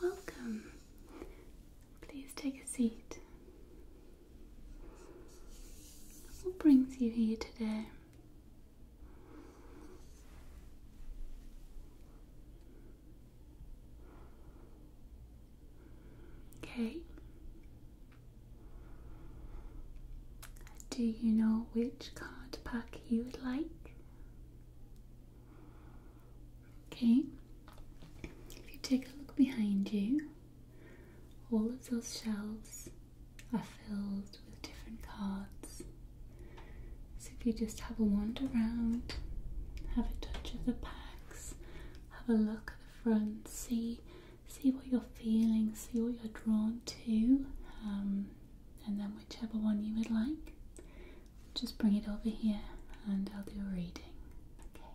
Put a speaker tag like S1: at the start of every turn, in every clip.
S1: Welcome. Please take a seat. What brings you here today? Okay. Do you know which card pack you would like? Okay, if you take a look behind you, all of those shelves are filled with different cards. So if you just have a wander around, have a touch of the packs, have a look at the front, see see what you're feeling, see what you're drawn to, um, and then whichever one you would like, just bring it over here and I'll do a reading. Okay.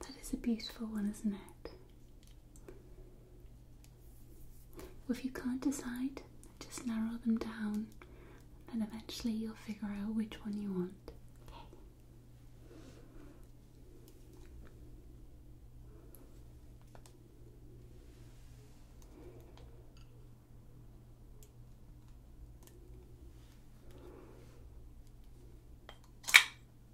S1: That is a beautiful one, isn't it? If you can't decide, just narrow them down and eventually you'll figure out which one you want.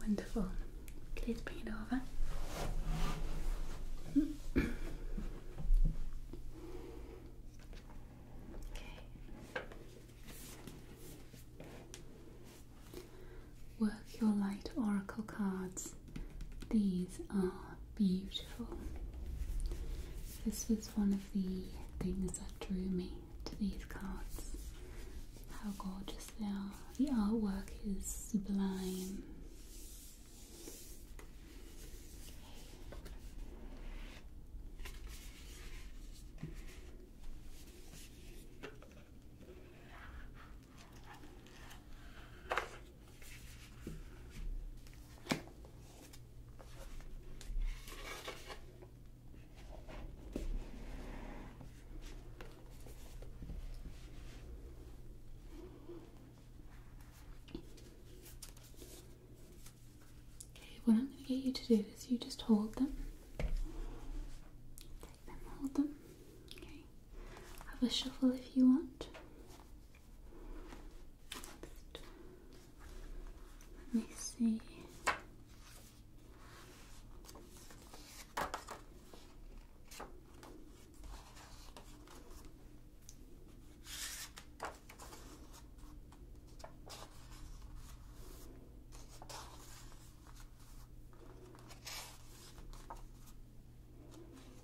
S1: Wonderful. Please bring it over. okay. Work your light oracle cards. These are beautiful. This was one of the things that drew me to these cards. How gorgeous they are. The artwork is sublime. Okay, what I'm going to get you to do is you just hold them. hold them. Okay. Have a shuffle if you want. Let me see.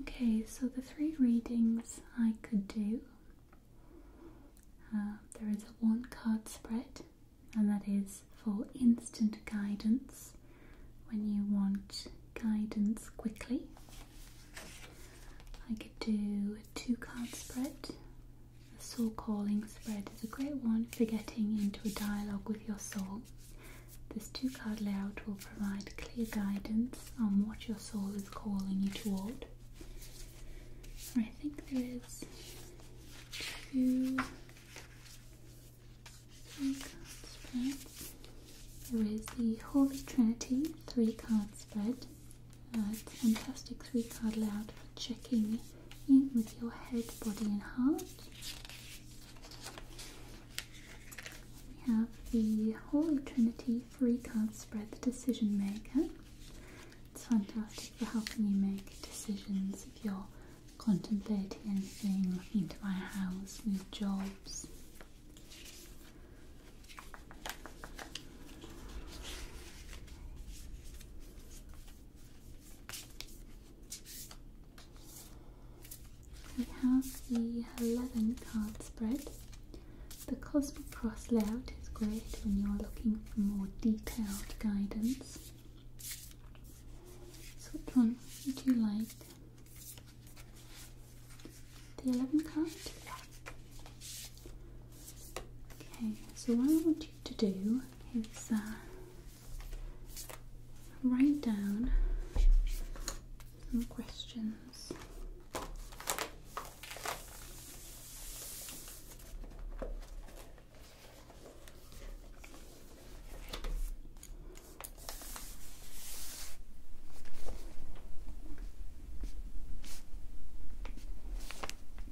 S1: Okay, so the three readings I could do uh, there is a one card spread, and that is for instant guidance when you want guidance quickly. I could do a two card spread, the soul calling spread is a great one for getting into a dialogue with your soul. This two card layout will provide clear guidance on what your soul is calling you toward. I think there is two three card spreads. There is the Holy Trinity three card spread. Uh, a fantastic three card layout for checking with your head, body, and heart. We have the Holy Trinity Three Card Spread, the Decision Maker. It's fantastic for helping you make decisions if you're contemplating anything, into my house, with jobs. We have the 11 card spread. The Cosmic Cross layout is great when you're looking for more detailed guidance. So, which one would you like? The 11 card? Okay, so what I want you to do is uh, write down some questions.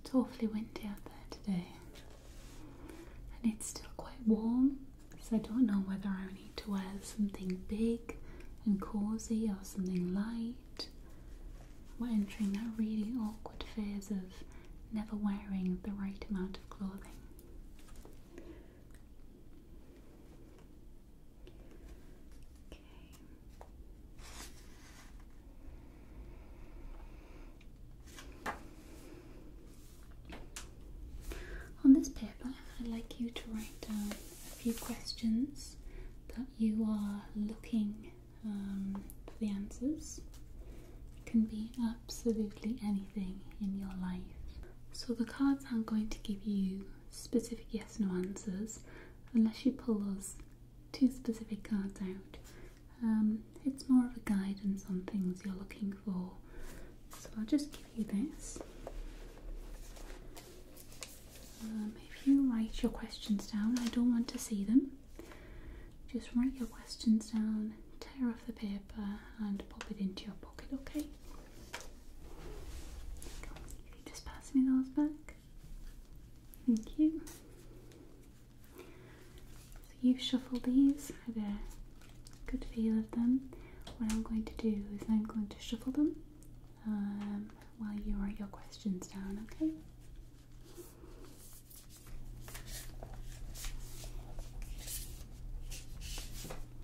S1: It's awfully windy out there today, and it's still quite warm, so I don't know whether I need to wear something big and cozy or something light. We're entering that really awkward phase of never wearing the right amount of clothing. On this paper, I'd like you to write down a few questions that you are looking um, for the answers. It can be absolutely anything in your life. So, the cards I'm going to give you specific yes no answers unless you pull those two specific cards out. Um, it's more of a guidance on things you're looking for. So I'll just give you this. Um, if you write your questions down, I don't want to see them. Just write your questions down, tear off the paper, and pop it into your pocket, okay? If you just pass me those back. Thank you. So you shuffle these. I get a good feel of them. What I'm going to do is I'm going to shuffle them um, while you write your questions down, okay?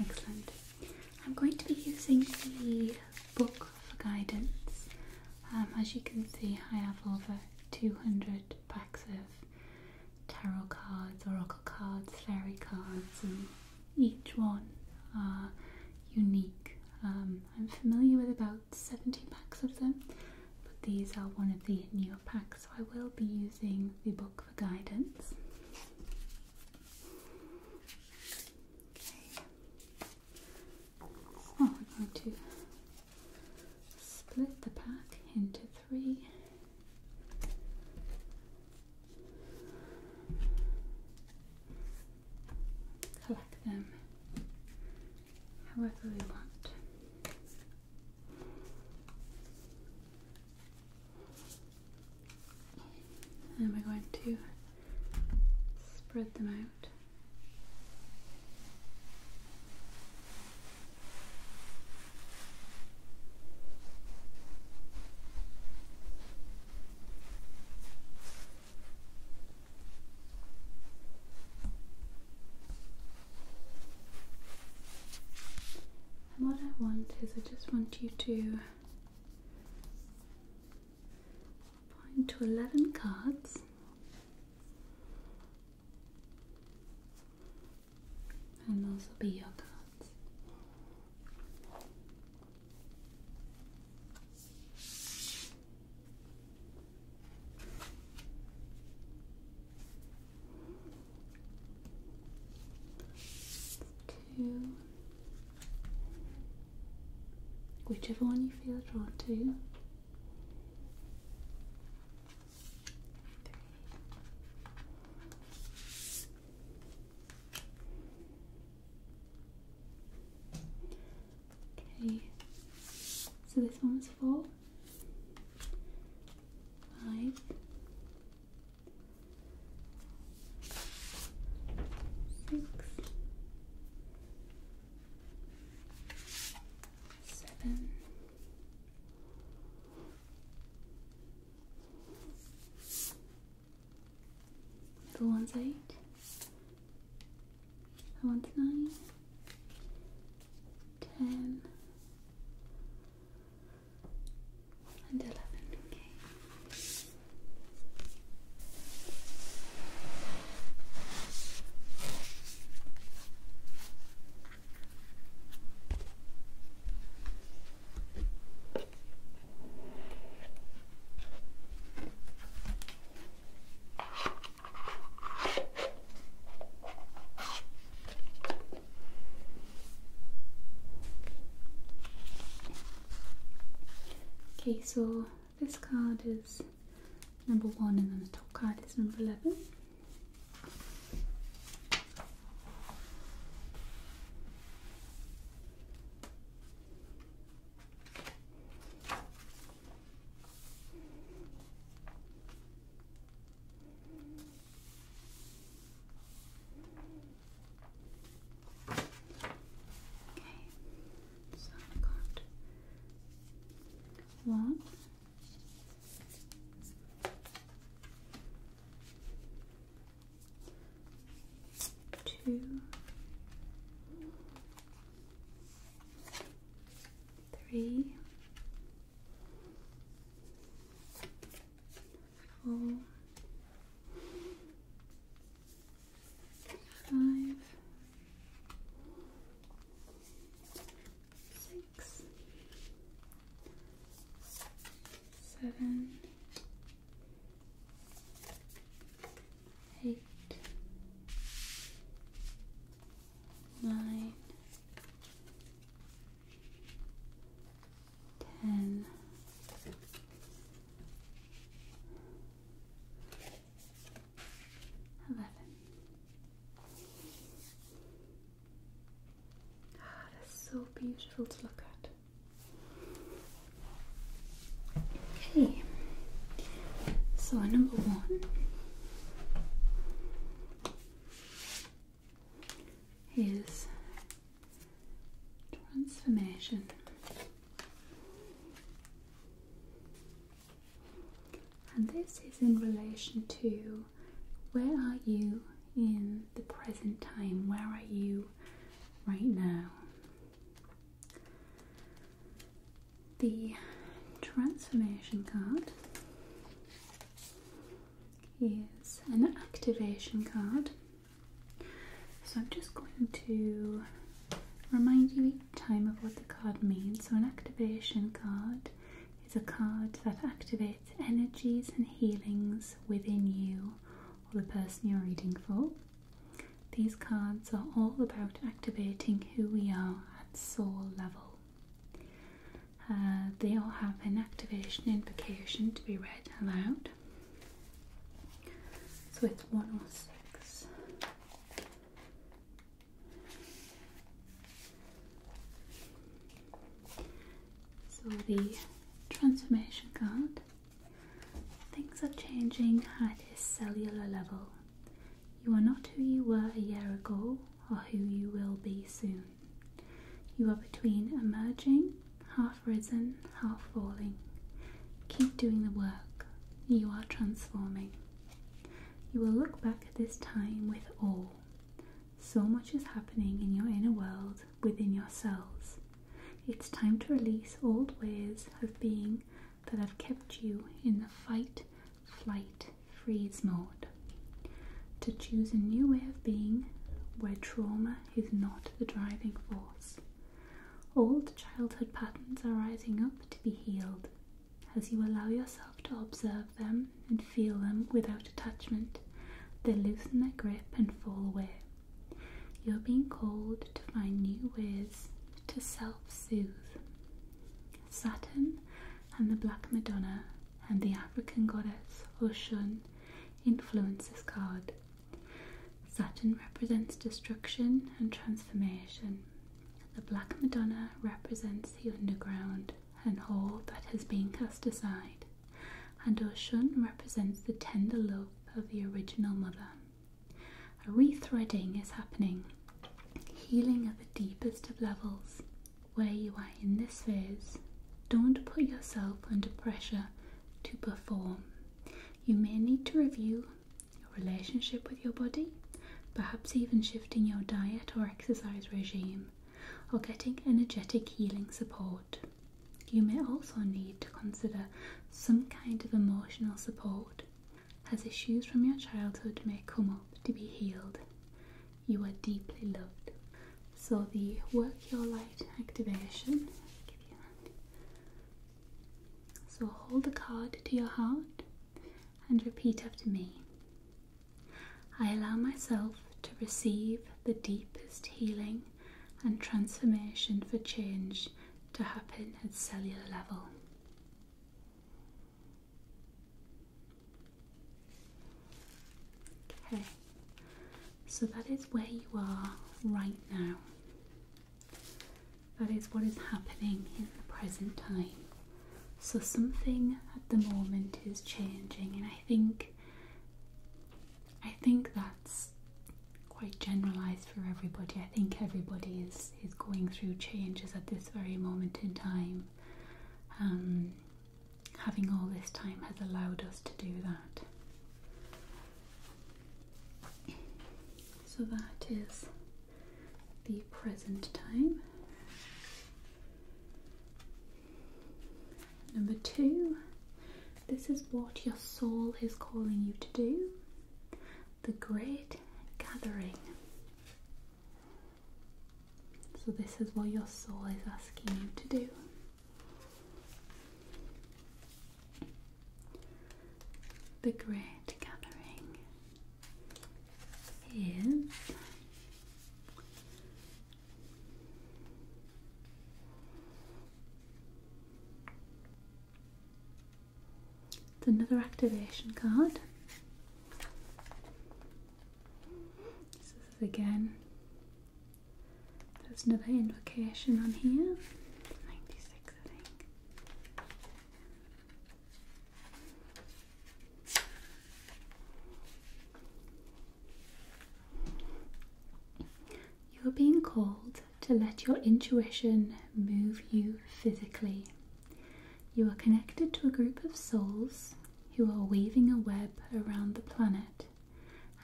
S1: Excellent. I'm going to be using the book for guidance. Um, as you can see, I have over 200 packs of tarot cards, oracle cards, fairy cards, and each one are unique. Um, I'm familiar with about 70 packs of them, but these are one of the newer packs, so I will be using the book for guidance. Okay. So I'm going to split the pack into three collect them however we want. And we're going to spread them out. And what I want is, I just want you to point to 11 cards and those will be your cards. Two. Whichever one you feel drawn to. Three. Okay, so this one's four, five, six, seven, the one's eight. The one's nine. Ten. And eleven. Okay. Okay, so this card is number one, and then the top card is number 11. Okay, so i got one, two, three, four, five, six, seven, eight, nine, ten, eleven. Ah, that's so beautiful to look at. Okay, so number one is transformation. And this is in relation to where are you in the present time? Where are you right now? The transformation card is an activation card. So I'm just going to remind you each time of what the card means. So, an activation card is a card that activates energies and healings within you or the person you're reading for. These cards are all about activating who we are at soul level. Uh, they all have an activation invocation to be read aloud. So it's 106. So the transformation card. Things are changing at a cellular level. You are not who you were a year ago or who you will be soon. You are between emerging, half risen, half falling. Keep doing the work. You are transforming. You will look back at this time with awe. So much is happening in your inner world within yourselves. It's time to release old ways of being that have kept you in the fight, flight, freeze mode. To choose a new way of being where trauma is not the driving force. Old childhood patterns are rising up to be healed. As you allow yourself to observe them and feel them without attachment, they loosen their grip and fall away. You're being called to find new ways to self soothe. Saturn and the Black Madonna and the African goddess Oshun influences this card. Saturn represents destruction and transformation. The Black Madonna represents the underground. An all that has been cast aside, and Oshun represents the tender love of the original mother. A rethreading is happening, healing at the deepest of levels. Where you are in this phase, don't put yourself under pressure to perform. You may need to review your relationship with your body, perhaps even shifting your diet or exercise regime or getting energetic healing support. You may also need to consider some kind of emotional support, as issues from your childhood may come up to be healed. You are deeply loved. So, the work your light activation. so, hold the card to your heart and repeat after me I allow myself to receive the deepest healing and transformation for change to happen at cellular level. Okay, so that is where you are right now. That is what is happening in the present time. So, something at the moment is changing, and I think I think that's quite generalized for everybody. I think everybody is, is going through changes at this very moment in time. Um, having all this time has allowed us to do that. So that is the present time. Number two, this is what your soul is calling you to do the great gathering. So, this is what your soul is asking you to do. The great gathering is it's another activation card. this is again. There's another invocation on here. 96 I think. You're being called to let your intuition move you physically. You are connected to a group of souls who are weaving a web around the planet,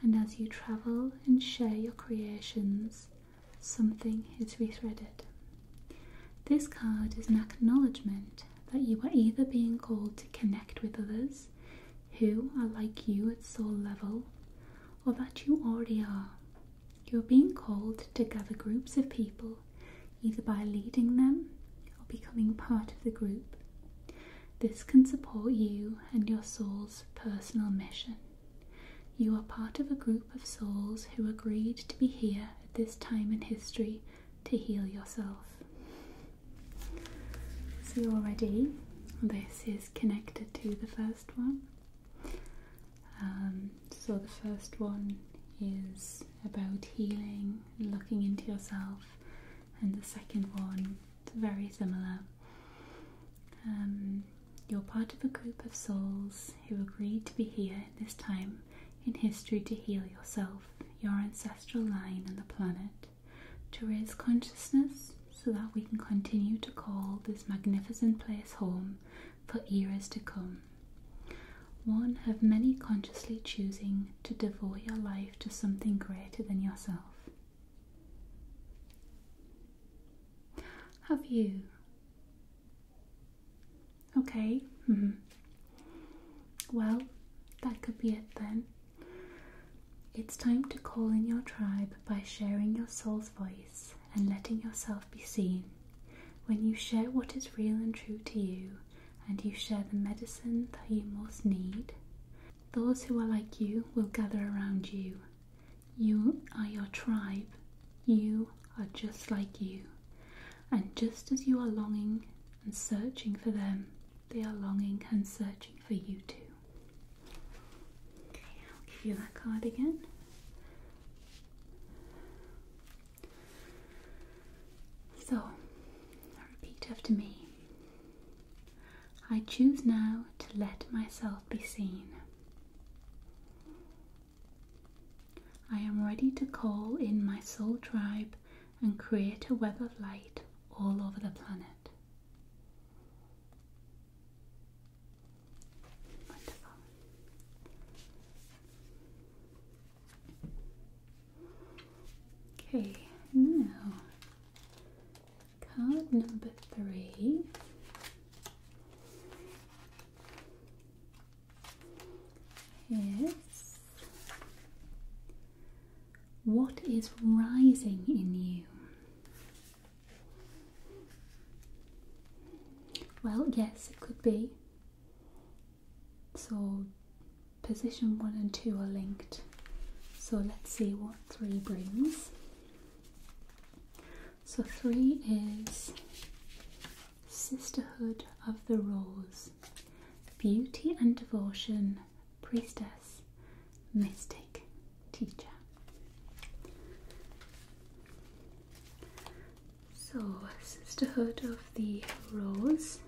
S1: and as you travel and share your creations, something is rethreaded. This card is an acknowledgement that you are either being called to connect with others who are like you at soul level or that you already are. You are being called to gather groups of people either by leading them or becoming part of the group. This can support you and your soul's personal mission. You are part of a group of souls who agreed to be here at this time in history to heal yourself. See already, this is connected to the first one. Um, so the first one is about healing, looking into yourself, and the second one is very similar. Um, you're part of a group of souls who agreed to be here at this time in history to heal yourself, your ancestral line, and the planet to raise consciousness so that we can continue to call this magnificent place home for eras to come. One have many consciously choosing to devote your life to something greater than yourself. Have you? Okay. Mm-hmm. Well, that could be it then. It's time to call in your tribe by sharing your soul's voice and letting yourself be seen. When you share what is real and true to you, and you share the medicine that you most need, those who are like you will gather around you. You are your tribe. You are just like you. And just as you are longing and searching for them. They are longing and searching for you too. I'll give you that card again. So, repeat after me. I choose now to let myself be seen. I am ready to call in my soul tribe and create a web of light all over the planet. Okay, now card number three. Yes, what is rising in you? Well, yes, it could be. So, position one and two are linked. So, let's see what three brings. So, three is Sisterhood of the Rose. Beauty and Devotion, Priestess, Mystic, Teacher. So, Sisterhood of the Rose,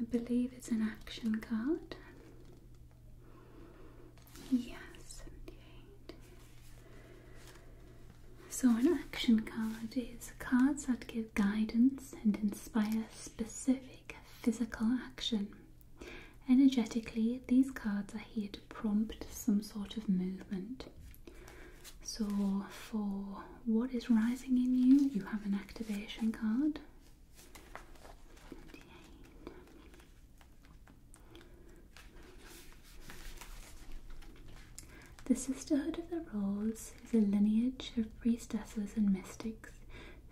S1: I believe it's an action card. Yes, So, an action card is cards that give guidance and inspire specific physical action. Energetically, these cards are here to prompt some sort of movement. So, for what is rising in you, you have an activation card. The Sisterhood of the Rose is a lineage of priestesses and mystics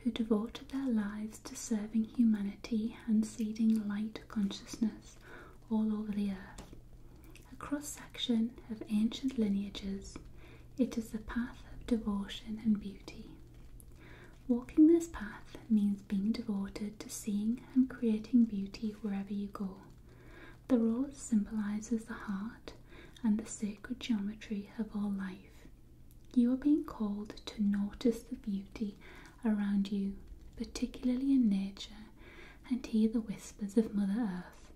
S1: who devoted their lives to serving humanity and seeding light consciousness all over the earth. A cross section of ancient lineages, it is the path of devotion and beauty. Walking this path means being devoted to seeing and creating beauty wherever you go. The rose symbolises the heart and the sacred geometry of all life. You are being called to notice the beauty around you, particularly in nature, and hear the whispers of Mother Earth.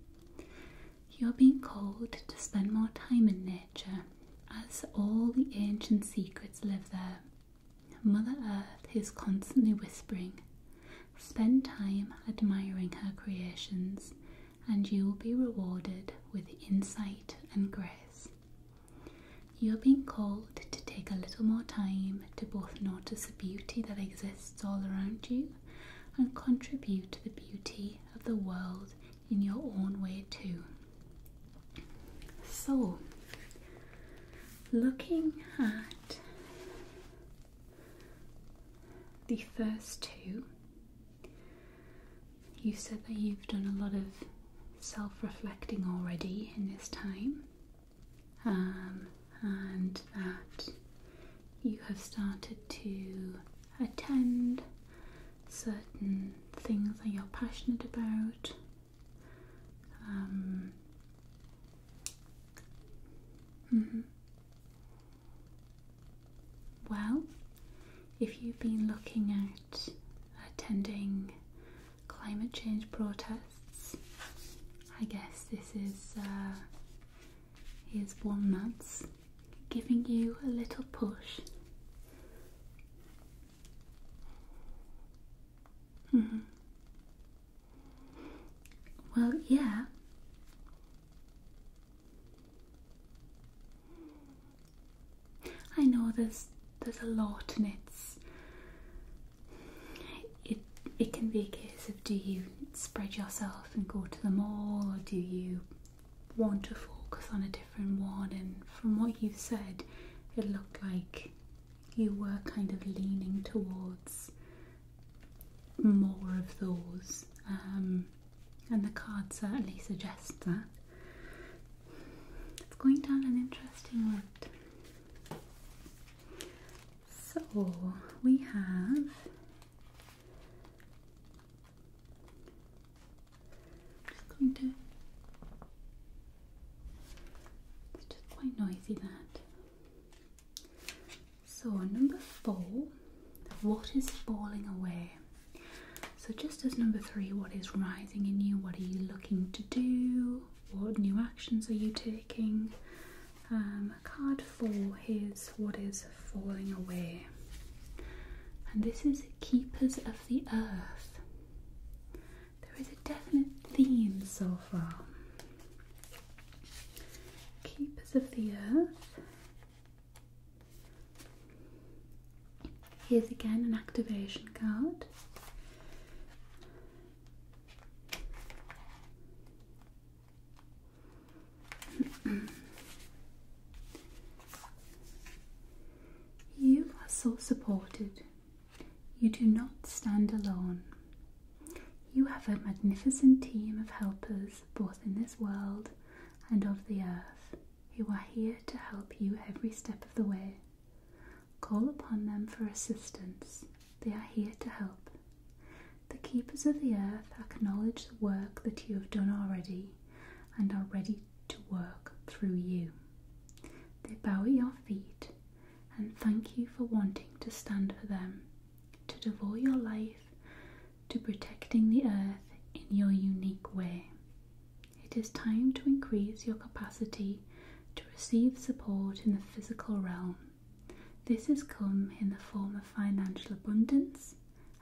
S1: You are being called to spend more time in nature, as all the ancient secrets live there. Mother Earth is constantly whispering. Spend time admiring her creations and you will be rewarded with insight and grace. You are being called to take a little more time to both notice the beauty that exists all around you and contribute to the beauty of the world in your own way too. So, looking at the first two you said that you've done a lot of self reflecting already in this time, um, and that you have started to attend certain things that you're passionate about. Um, mm-hmm. Well, if you've been looking at attending climate change protests, I guess this is uh, is one that's giving you a little push. Mm-hmm. Well, yeah. I know there's there's a lot, and it's it it can be a case of do you spread yourself and go to the mall, or do you want to focus on a different one? And from what you've said, it looked like you were kind of leaning towards more of those. Um, and the card certainly suggests that. It's going down an interesting route. So we have just going to it's just quite noisy that so, number four, what is falling away? So, just as number three, what is rising in you? What are you looking to do? What new actions are you taking? Um, card four here's what is falling away. And this is Keepers of the Earth. There is a definite theme so far. Keepers of the Earth Here's again an activation card. you are so supported. You do not stand alone. You have a magnificent team of helpers both in this world and of the earth, who are here to help you every step of the way. Call upon them for assistance, they are here to help. The keepers of the earth acknowledge the work that you have done already and are ready to work through you. They bow at your feet and thank you for wanting to stand for them, to devote your life to protecting the earth in your unique way. It is time to increase your capacity to receive support in the physical realm. This has come in the form of financial abundance,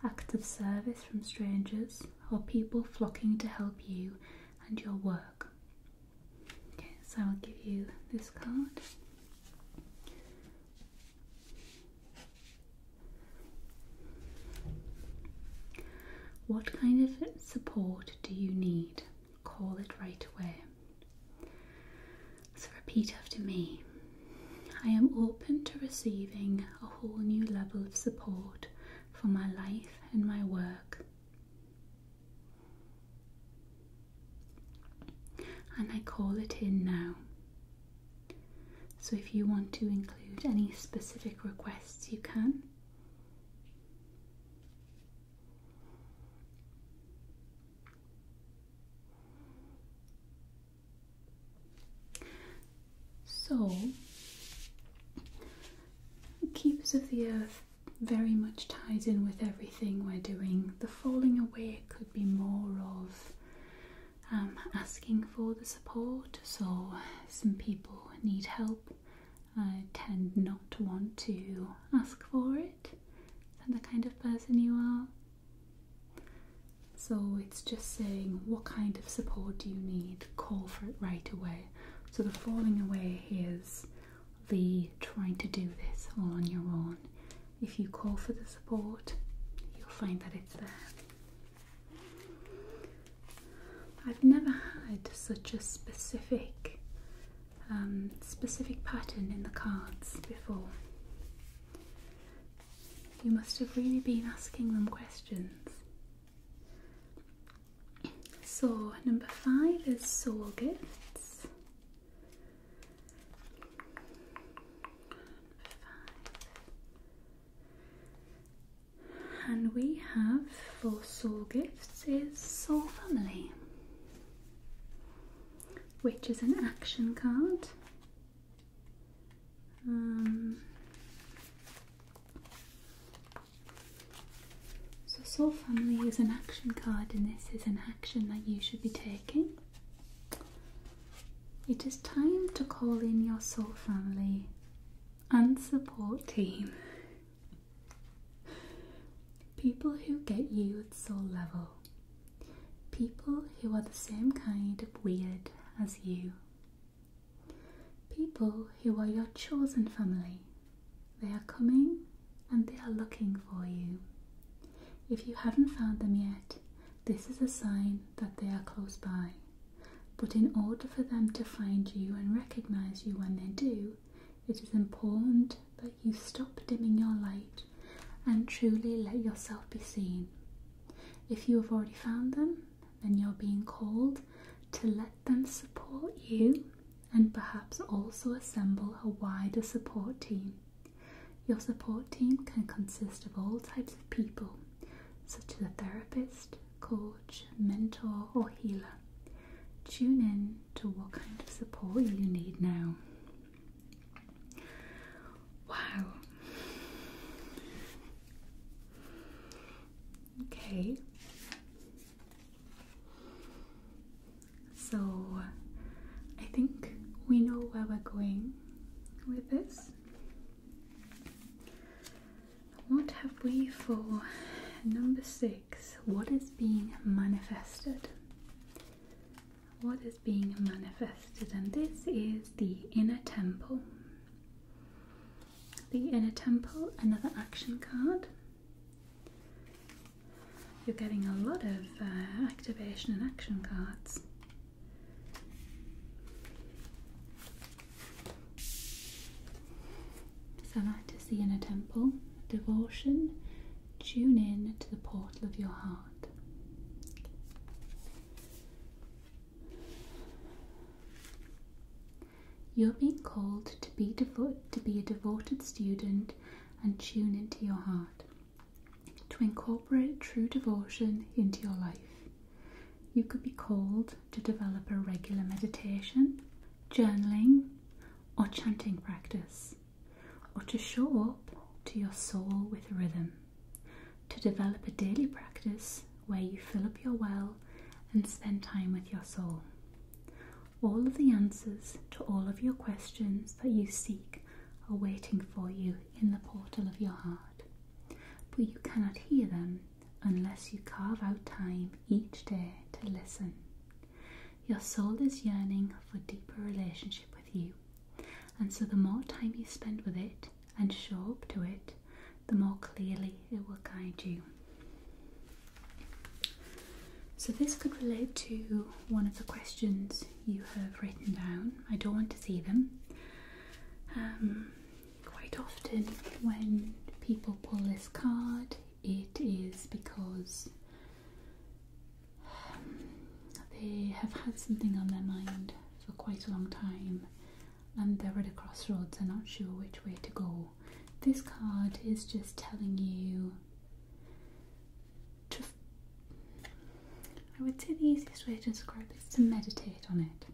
S1: acts of service from strangers, or people flocking to help you and your work. Okay, so I'll give you this card. What kind of support do you need? Call it right away. So repeat after me. I am open to receiving a whole new level of support for my life and my work. And I call it in now. So if you want to include any specific requests, you can. So, Keepers of the Earth very much ties in with everything we're doing. The falling away could be more of um, asking for the support, so some people need help. I tend not to want to ask for it. Is that the kind of person you are? So it's just saying what kind of support do you need? Call for it right away. So the falling away is the trying to do this all on your own if you call for the support, you'll find that it's there. I've never had such a specific um, specific pattern in the cards before. You must have really been asking them questions. Saw number five is saw gifts. And we have for soul gifts is soul family, which is an action card. Um, so soul family is an action card, and this is an action that you should be taking. It is time to call in your soul family and support team. People who get you at soul level. People who are the same kind of weird as you. People who are your chosen family. They are coming and they are looking for you. If you haven't found them yet, this is a sign that they are close by. But in order for them to find you and recognize you when they do, it is important that you stop dimming your light and truly let yourself be seen. If you have already found them, then you're being called to let them support you and perhaps also assemble a wider support team. Your support team can consist of all types of people, such as a therapist, coach, mentor, or healer. Tune in to what kind of support you need now. Wow. Okay. So I think we know where we're going with this. What have we for number six? What is being manifested? What is being manifested? And this is the inner temple. The inner temple, another action card. You're getting a lot of uh, activation and action cards. So that is the inner temple, devotion, tune in to the portal of your heart. You're being called to be, devoted to be a devoted student and tune into your heart to incorporate true devotion into your life. You could be called to develop a regular meditation, journaling, or chanting practice, or to show up to your soul with rhythm, to develop a daily practice where you fill up your well and spend time with your soul. All of the answers to all of your questions that you seek are waiting for you in the portal of your heart, but you cannot hear them unless you carve out time each day to listen. Your soul is yearning for deeper relationship with you, and so the more time you spend with it and show up to it, the more clearly it will guide you. So, this could relate to one of the questions you have written down. I don't want to see them. Um, quite often, when people pull this card, it is because um, they have had something on their mind for quite a long time and they're at a crossroads and not sure which way to go. This card is just telling you I would say the easiest way to describe this is to meditate on it.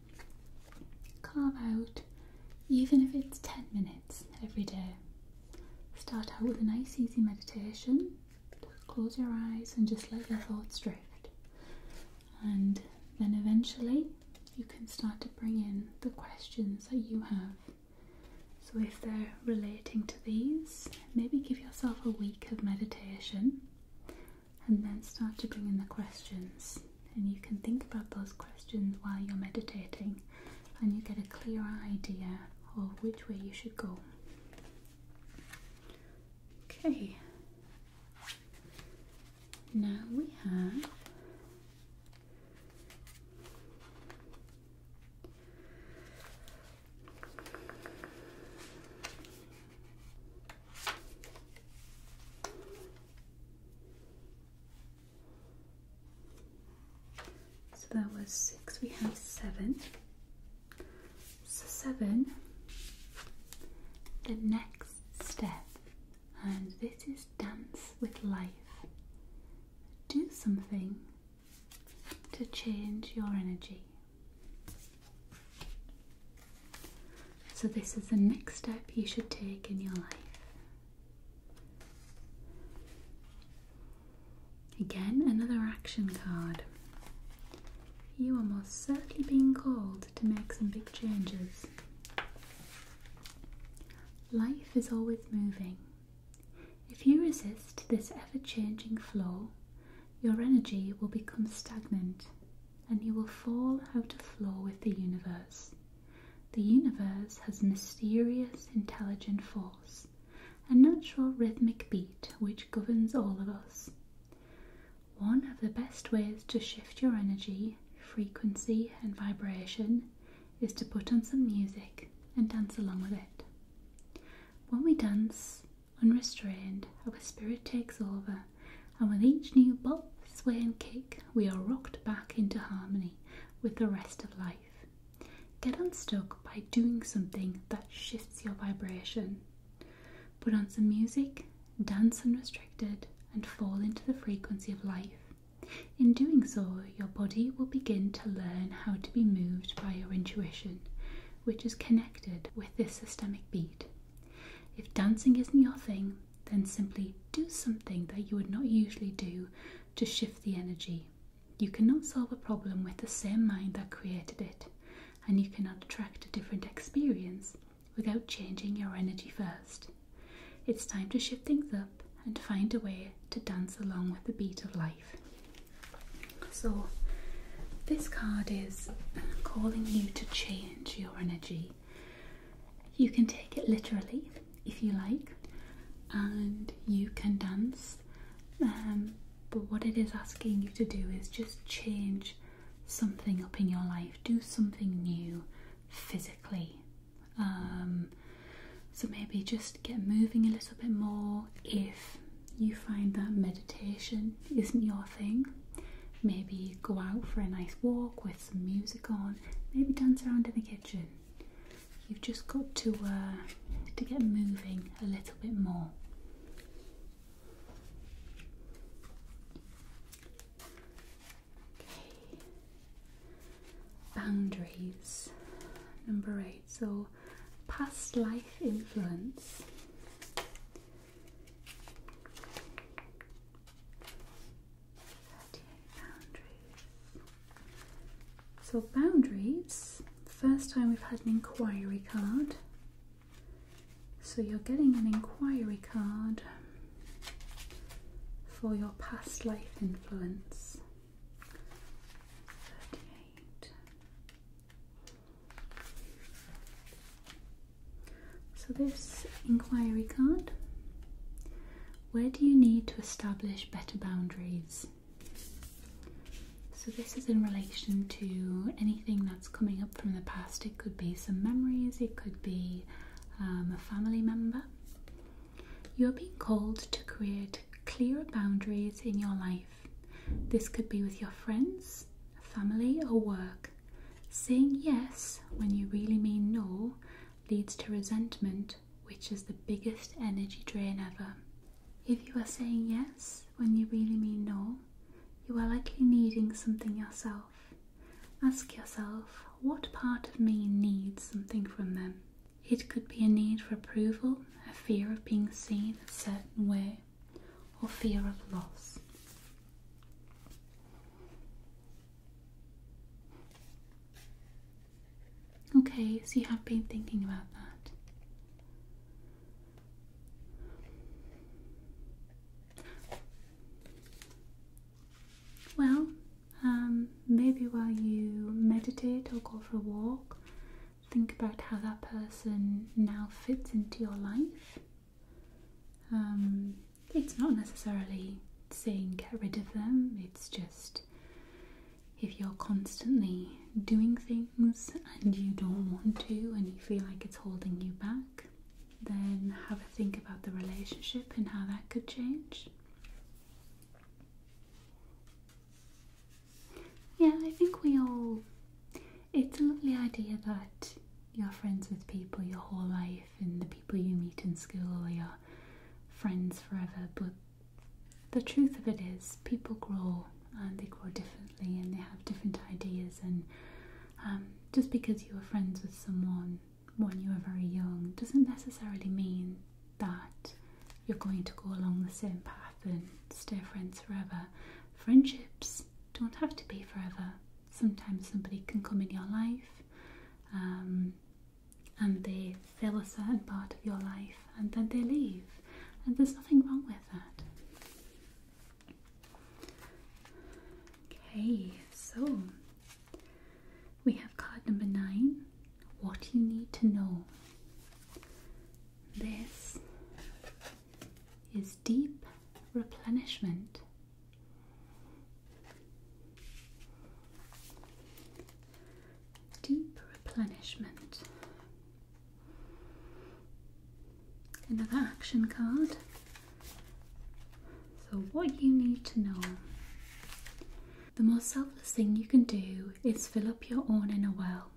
S1: Carve out, even if it's 10 minutes every day. Start out with a nice, easy meditation. close your eyes and just let your thoughts drift. And then eventually, you can start to bring in the questions that you have. So, if they're relating to these, maybe give yourself a week of meditation and then start to bring in the questions. And you can think about those questions while you're meditating, and you get a clearer idea of which way you should go. Okay, now we have so that was six. We have seven. So seven. The next step, and this is dance with life. Do something to change your energy. So, this is the next step you should take in your life. Again, another action card. You are most certainly being called to make some big changes. Life is always moving. If you resist this ever changing flow, your energy will become stagnant and you will fall out of flow with the universe. The universe has mysterious, intelligent force, a natural rhythmic beat which governs all of us. One of the best ways to shift your energy, frequency, and vibration is to put on some music and dance along with it. When we dance, Unrestrained, our spirit takes over, and with each new bob, sway, and kick, we are rocked back into harmony with the rest of life. Get unstuck by doing something that shifts your vibration. Put on some music, dance unrestricted, and fall into the frequency of life. In doing so, your body will begin to learn how to be moved by your intuition which is connected with this systemic beat. If dancing isn't your thing, then simply do something that you would not usually do to shift the energy. You cannot solve a problem with the same mind that created it, and you cannot attract a different experience without changing your energy first. It's time to shift things up and find a way to dance along with the beat of life. So, this card is calling you to change your energy. You can take it literally if you like, and you can dance. Um, but what it is asking you to do is just change something up in your life, do something new physically. Um, so maybe just get moving a little bit more if you find that meditation isn't your thing, maybe go out for a nice walk with some music on, maybe dance around in the kitchen. You've just got to uh, to get moving a little bit more. Okay. Boundaries number eight so past life influence. So boundaries. First time we've had an inquiry card. So you're getting an inquiry card for your past life influence. 38. So, this inquiry card where do you need to establish better boundaries? So, this is in relation to anything that's coming up from the past. It could be some memories, it could be um, a family member. You're being called to create clearer boundaries in your life this could be with your friends, family, or work. Saying yes when you really mean no leads to resentment, which is the biggest energy drain ever. If you are saying yes when you really mean no, you are likely needing something yourself. Ask yourself what part of me needs something from them. It could be a need for approval, a fear of being seen a certain way, or fear of loss. Okay, so you have been thinking about that. Well, um, maybe while you meditate or go for a walk, think about how that person now fits into your life. Um, it's not necessarily saying get rid of them, it's just if you're constantly doing things and you don't want to and you feel like it's holding you back, then have a think about the relationship and how that could change. Yeah, I think we all. It's a lovely idea that you're friends with people your whole life and the people you meet in school are your friends forever, but the truth of it is, people grow and they grow differently and they have different ideas. And um, just because you were friends with someone when you were very young doesn't necessarily mean that you're going to go along the same path and stay friends forever friendships don't have to be forever. Sometimes somebody can come in your life um, and they fill a certain part of your life and then they leave, and there's nothing wrong with that. Okay, so we have card number nine what you need to know. This is deep replenishment. Deep replenishment. Another action card. So, what you need to know the most selfless thing you can do is fill up your own inner well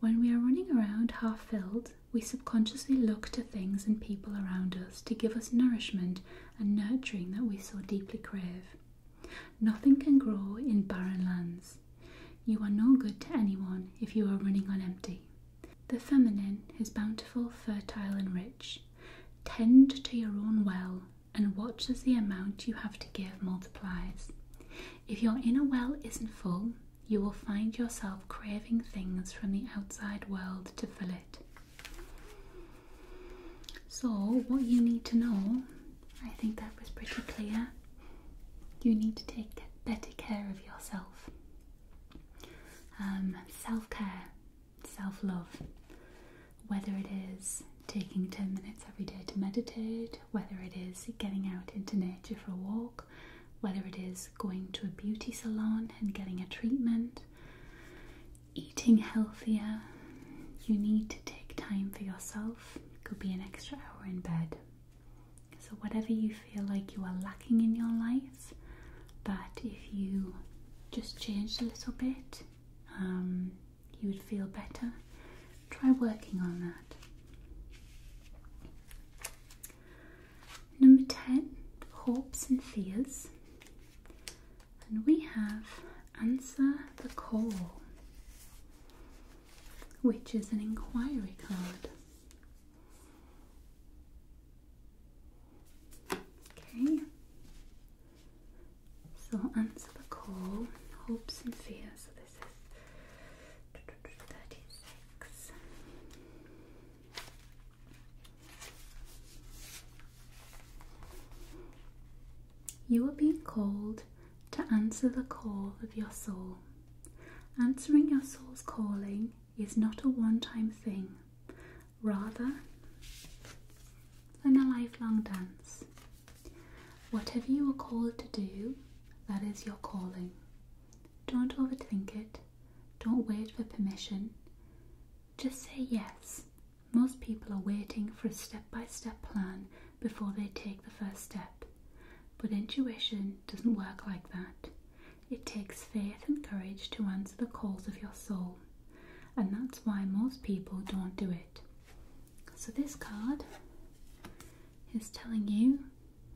S1: when we are running around half filled, we subconsciously look to things and people around us to give us nourishment and nurturing that we so deeply crave. Nothing can grow in barren lands. You are no good to anyone if you are running on empty. The feminine is bountiful, fertile, and rich. Tend to your own well and watch as the amount you have to give multiplies. If your inner well isn't full, you will find yourself craving things from the outside world to fill it. So, what you need to know, I think that was pretty clear. You need to take better care of yourself. Um, self care, self love, whether it is taking 10 minutes every day to meditate, whether it is getting out into nature for a walk, whether it is going to a beauty salon and getting a treatment, eating healthier, you need to take time for yourself. could be an extra hour in bed. So, whatever you feel like you are lacking in your life, but if you just changed a little bit, um, you would feel better try working on that. Number 10, hopes and fears. And we have answer the call, which is an inquiry card. Okay, so answer the call, hopes and fears. this is you are being called to answer the call of your soul. Answering your soul's calling is not a one time thing, rather, than a lifelong dance. Whatever you are called to do, that is your calling. Don't overthink it. Don't wait for permission. Just say yes. Most people are waiting for a step by step plan before they take the first step. But intuition doesn't work like that. It takes faith and courage to answer the calls of your soul, and that's why most people don't do it. So, this card is telling you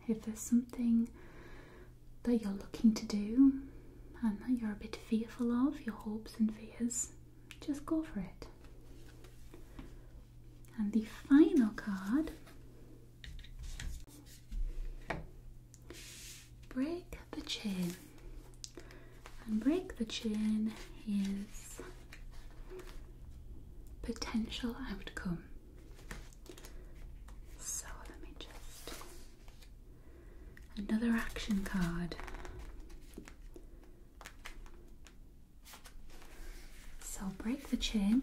S1: if there's something that you're looking to do and that you're a bit fearful of, your hopes and fears, just go for it. And the final card Break the Chain. And Break the Chain is potential outcome. So let me just. Another action card. So break the chain,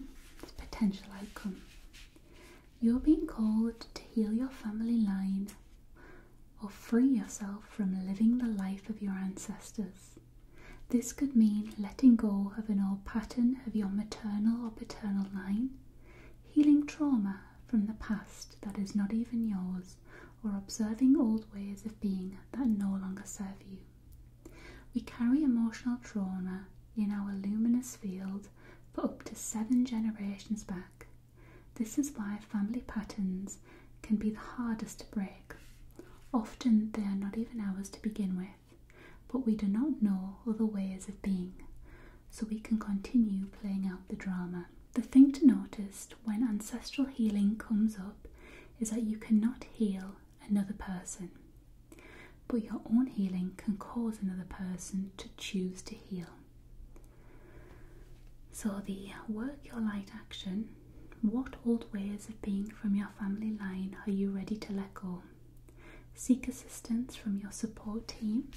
S1: potential outcome. You're being called to heal your family line or free yourself from living the life of your ancestors. This could mean letting go of an old pattern of your maternal or paternal line, healing trauma from the past that is not even yours, or observing old ways of being that no longer serve you. We carry emotional trauma in our luminous field for up to seven generations back. This is why family patterns can be the hardest to break. Often they are not even ours to begin with but we do not know other ways of being, so we can continue playing out the drama. The thing to notice when ancestral healing comes up is that you cannot heal another person, but your own healing can cause another person to choose to heal. So, the work your light action what old ways of being from your family line are you ready to let go? Seek assistance from your support team,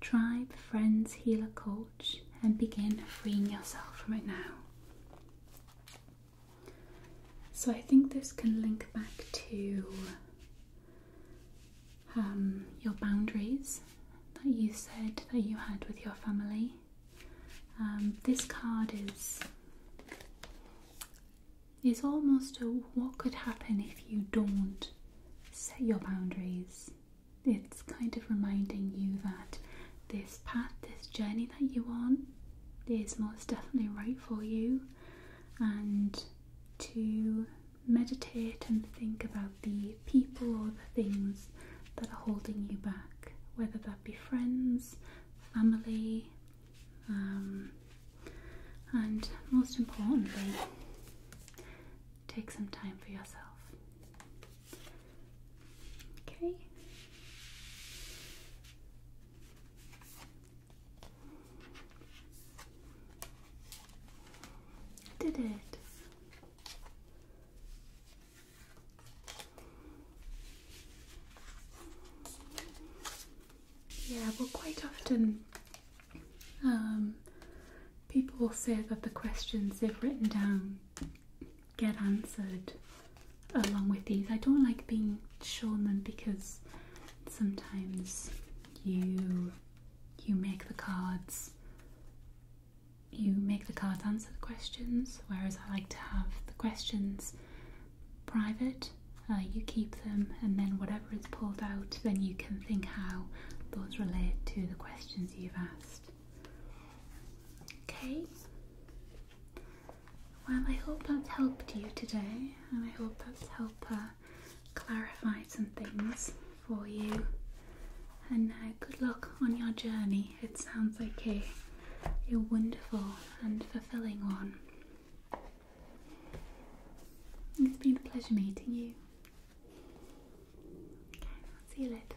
S1: tribe, friends, healer, coach, and begin freeing yourself from it now. So, I think this can link back to um, your boundaries that you said that you had with your family um, this card is is almost a what could happen if you don't set your boundaries. It's kind of reminding you that this path, this journey that you're on, is most definitely right for you, and to meditate and think about the people or the things that are holding you back, whether that be friends, family, um, and most importantly, take some time for yourself. Okay. did it. Yeah, well, quite often um, people say that the questions they've written down get answered along with these. I don't like being shown them because sometimes you you make the cards you make the cards answer the questions, whereas I like to have the questions private. Uh, you keep them, and then whatever is pulled out, then you can think how those relate to the questions you've asked. Okay. Well, I hope that's helped you today, and I hope that's helped uh, clarify some things for you. And uh, good luck on your journey it sounds like a, a wonderful and fulfilling one. It's been a pleasure meeting you. Okay, I'll see you later.